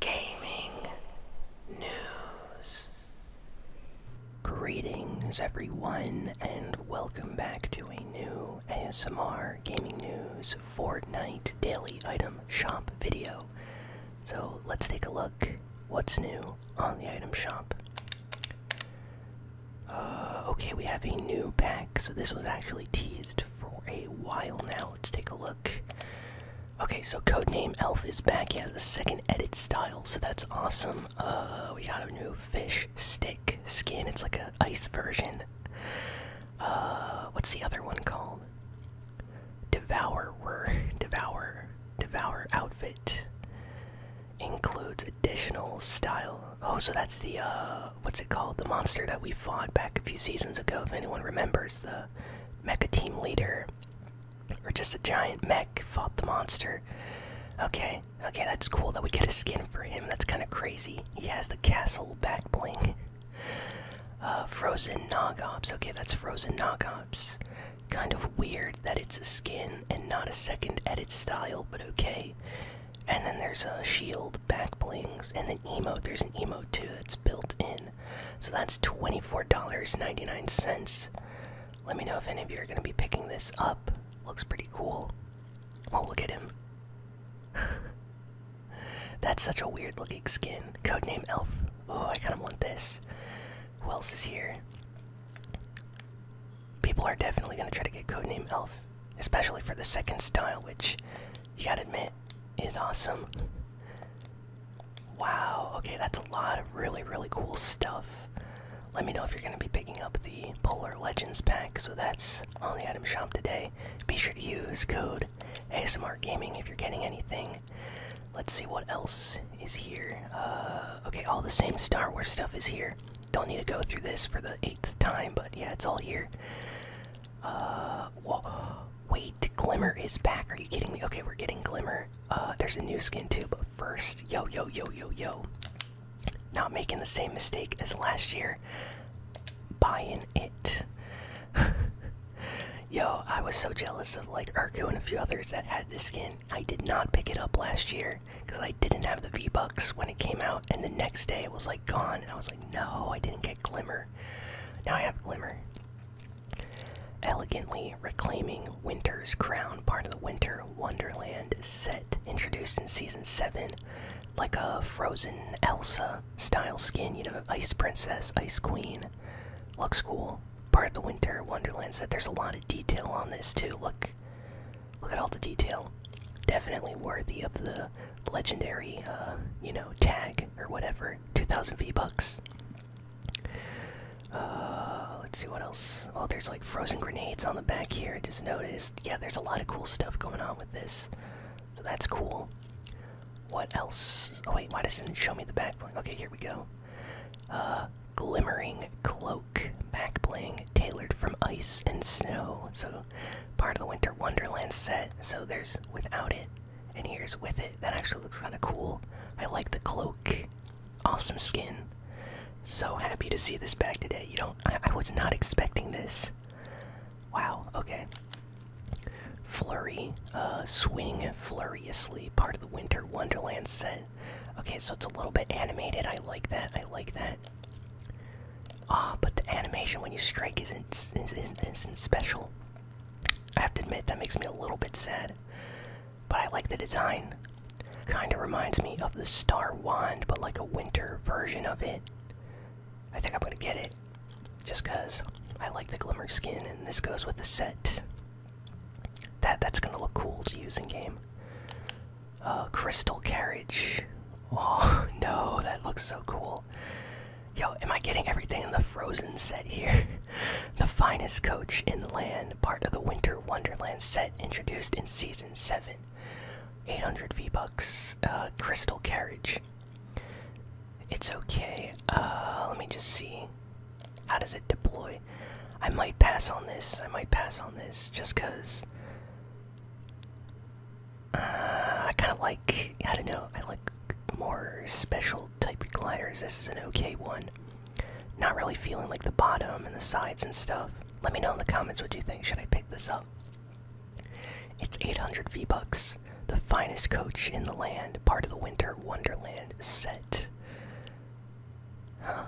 gaming news. Greetings, everyone, and welcome back to a new ASMR Gaming News Fortnite Daily Item Shop video. So let's take a look what's new on the item shop. Uh, okay, we have a new pack, so this was actually teased for a while now. Let's take a look. Okay, so Codename Elf is back. He has a second edit style, so that's awesome. Uh, we got a new fish stick skin. It's like an ice version. Uh, what's the other one called? Devourer. devour, devour outfit includes additional style. Oh, so that's the uh, what's it called? The monster that we fought back a few seasons ago. If anyone remembers, the uh, mecha team leader or just a giant mech fought the monster okay okay that's cool that we get a skin for him that's kind of crazy he has the castle back bling uh, frozen nogops okay that's frozen nogops kind of weird that it's a skin and not a second edit style but okay and then there's a shield back blings and an emo. there's an emo that's built in. So that's $24.99. Let me know if any of you are going to be picking this up. Looks pretty cool. Oh, look at him. that's such a weird looking skin. Codename Elf. Oh, I kind of want this. Who else is here? People are definitely going to try to get Codename Elf, especially for the second style, which you gotta admit, is awesome. Wow, okay, that's a lot of really, really cool stuff. Let me know if you're gonna be picking up the Polar Legends pack, so that's on the item shop today. Be sure to use code ASMR Gaming if you're getting anything. Let's see what else is here. Uh, okay, all the same Star Wars stuff is here. Don't need to go through this for the eighth time, but yeah, it's all here. Uh, Wait, Glimmer is back. Are you kidding me? Okay, we're getting Glimmer. Uh, there's a new skin too, but first, yo, yo, yo, yo, yo. Not making the same mistake as last year. Buying it. yo, I was so jealous of like Urku and a few others that had this skin. I did not pick it up last year because I didn't have the V Bucks when it came out and the next day it was like gone and i was like no i didn't get glimmer now i have glimmer elegantly reclaiming winter's crown part of the winter wonderland set introduced in season 7 like a frozen elsa style skin you know ice princess ice queen looks cool part of the winter wonderland set there's a lot of detail on this too look Look at all the detail. Definitely worthy of the legendary, uh, you know, tag or whatever. 2,000 V bucks. Uh, let's see what else. Oh, there's like frozen grenades on the back here. I just noticed. Yeah, there's a lot of cool stuff going on with this. So that's cool. What else? Oh, wait, why doesn't it show me the back? Okay, here we go. Uh, glimmering cloak back bling tailored from ice and snow. So part of the Winter Wonderland set. So there's without it, and here's with it. That actually looks kind of cool. I like the cloak. Awesome skin. So happy to see this back today. You know, I, was not expecting this. Wow. Okay. Flurry, uh, swing furiously. Part of the Winter Wonderland set. Okay, so it's a little bit animated. I like that. I like that. Ah, but the animation when you strike isn't, isn't, isn't special. I have to admit, that makes me a little bit sad. But I like the design. Kinda reminds me of the Star Wand, but like a winter version of it. I think I'm gonna get it. Just cause I like the glimmer skin and this goes with the set. That that's gonna look cool to use in game. Uh, crystal carriage. Oh no, that looks so cool. Yo, am I getting everything in the Frozen set here? the finest coach in the land, part of the Winter Wonderland set introduced in Season 7. 800 V-Bucks, A uh, crystal carriage. It's okay. Uh, let me just see. How does it deploy? I might pass on this. I might pass on this just cuz uh, I kind of like I don't know. I like more special type gliders. This is an okay one. Not really feeling like the bottom and the sides and stuff. Let me know in the comments what you think. Should I pick this up? It's 800 V-Bucks. The finest coach in the land. Part of the Winter Wonderland set. Huh.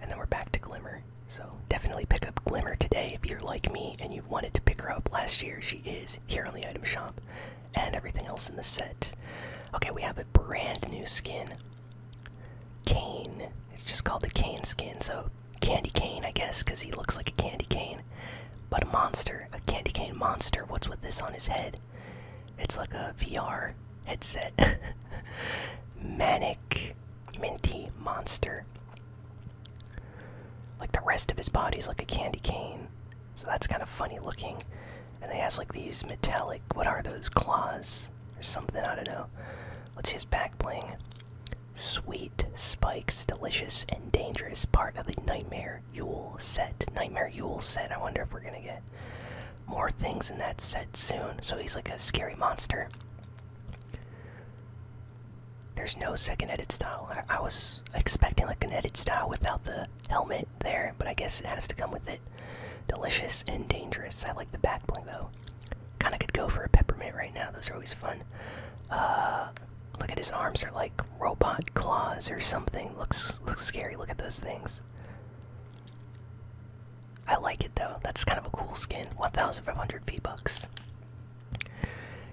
And then we're back to Glimmer. So definitely pick up Glimmer today if you're like me and you wanted to pick her up last year. She is here on the item shop and everything else in the set. Okay, we have a brand new skin. Cane. It's just called the cane skin, so candy cane, I guess, because he looks like a candy cane. But a monster, a candy cane monster. What's with this on his head? It's like a VR headset. Manic minty monster. Like the rest of his body's like a candy cane. So that's kind of funny looking. And they has like these metallic what are those? Claws or something, I don't know. Let's see his back bling. Sweet spikes, delicious and dangerous part of the Nightmare Yule set. Nightmare Yule set. I wonder if we're gonna get more things in that set soon, so he's like a scary monster. There's no second edit style. I, was expecting like an edit style without the helmet there, but I guess it has to come with it. Delicious and dangerous. I like the back bling though. Kind of could go for a peppermint right now. Those are always fun. Uh, look at his arms are like robot claws or something. Looks looks scary. Look at those things. I like it though. That's kind of a cool skin. 1,500 V-Bucks.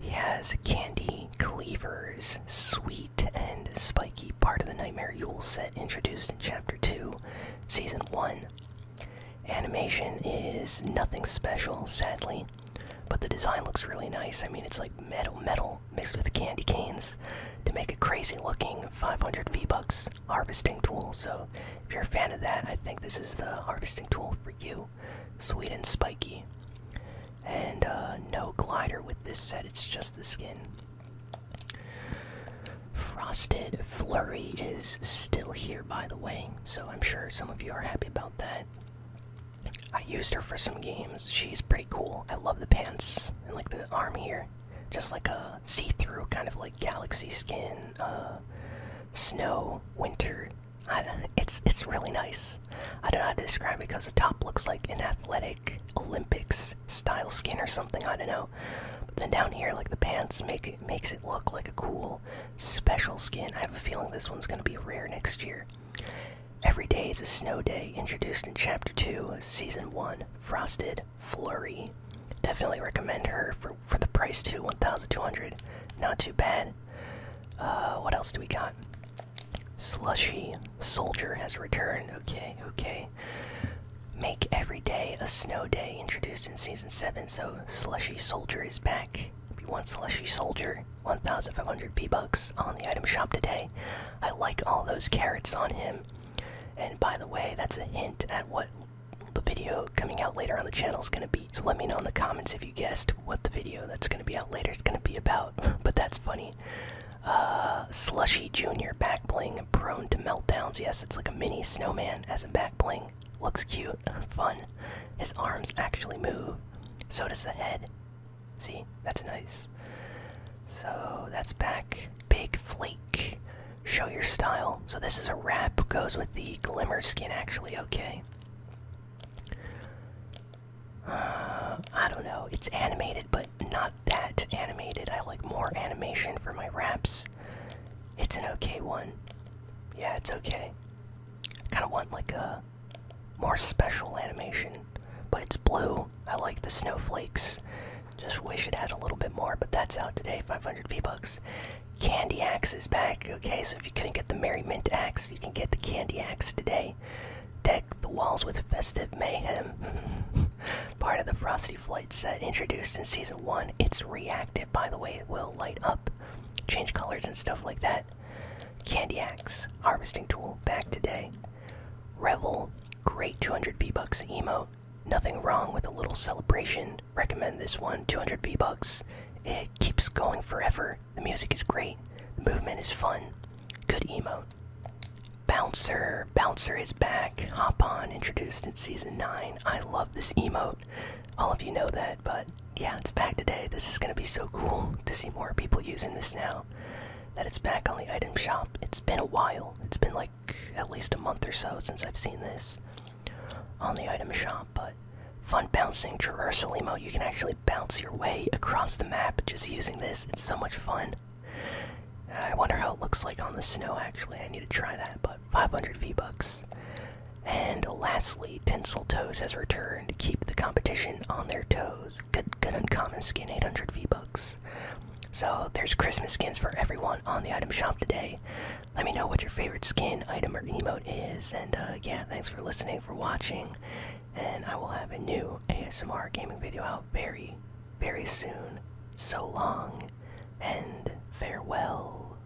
He has Candy, Cleavers, Sweet, and Spiky, part of the Nightmare Yule set introduced in Chapter 2, Season 1. Animation is nothing special, sadly, but the design looks really nice. I mean, it's like metal, metal, mixed with candy canes to make a crazy looking 500 V-Bucks harvesting tool. So if you're a fan of that, I think this is the harvesting tool for you. Sweet and spiky. And uh, no glider with this set, it's just the skin. Frosted Flurry is still here, by the way, so I'm sure some of you are happy about that. I used her for some games. She's pretty cool. I love the pants and like the arm here. Just like a see-through kind of like galaxy skin, uh, snow, winter. it's it's really nice. I don't know how to describe because the top looks like an athletic Olympics style skin or something. I don't know. But then down here, like the pants make makes it look like a cool special skin. I have a feeling this one's gonna be rare next year. Every Day is a Snow Day, introduced in Chapter 2, Season 1, Frosted Flurry. Definitely recommend her for, for the price too, 1200 Not too bad. Uh, what else do we got? Slushy Soldier has returned. Okay, okay. Make Every Day a Snow Day, introduced in Season 7, so Slushy Soldier is back. If you want Slushy Soldier, 1,500 V-Bucks on the item shop today. I like all those carrots on him. And by the way, that's a hint at what the video coming out later on the channel is going to be. So let me know in the comments if you guessed what the video that's going to be out later is going to be about. but that's funny. Uh, Slushy Jr. back bling, prone to meltdowns. Yes, it's like a mini snowman as a back bling. Looks cute, fun. His arms actually move. So does the head. See, that's nice. So that's back. Big Flake. Show your style. So this is a wrap. Goes with the Glimmer skin, actually. Okay. Uh, I don't know. It's animated, but not that animated. I like more animation for my wraps. It's an okay one. Yeah, it's okay. I kind of want like a more special animation. But it's blue. I like the snowflakes. Just wish it had a little bit more, but that's out today. 500 V-Bucks. Candy Axe is back. Okay, so if you couldn't get the Merry Mint Axe, you can get the Candy Axe today. Deck the walls with festive mayhem. Part of the Frosty Flight set introduced in Season 1. It's reactive, by the way. It will light up, change colors and stuff like that. Candy Axe, Harvesting Tool, back today. Revel, great 200 V-Bucks emote. Nothing wrong with a little celebration. Recommend this one, 200 V-Bucks. It keeps going forever. The music is great. The movement is fun. Good emote. Bouncer, Bouncer is back. Hop on, introduced in Season 9. I love this emote. All of you know that, but yeah, it's back today. This is gonna be so cool to see more people using this now that it's back on the item shop. It's been a while. It's been like at least a month or so since I've seen this on the item shop, but fun bouncing traversalimo. You can actually bounce your way across the map just using this. It's so much fun. I wonder how it looks like on the snow actually. I need to try that, but 500 V-Bucks. And lastly, Tinsel Toes has returned to keep the competition on their toes. Good, good uncommon skin, 800 V-Bucks. So there's Christmas skins for everyone on the item shop today. Let me know what your favorite skin, item, or emote is. And uh, yeah, thanks for listening, for watching. And I will have a new ASMR gaming video out very, very soon. So long, and farewell.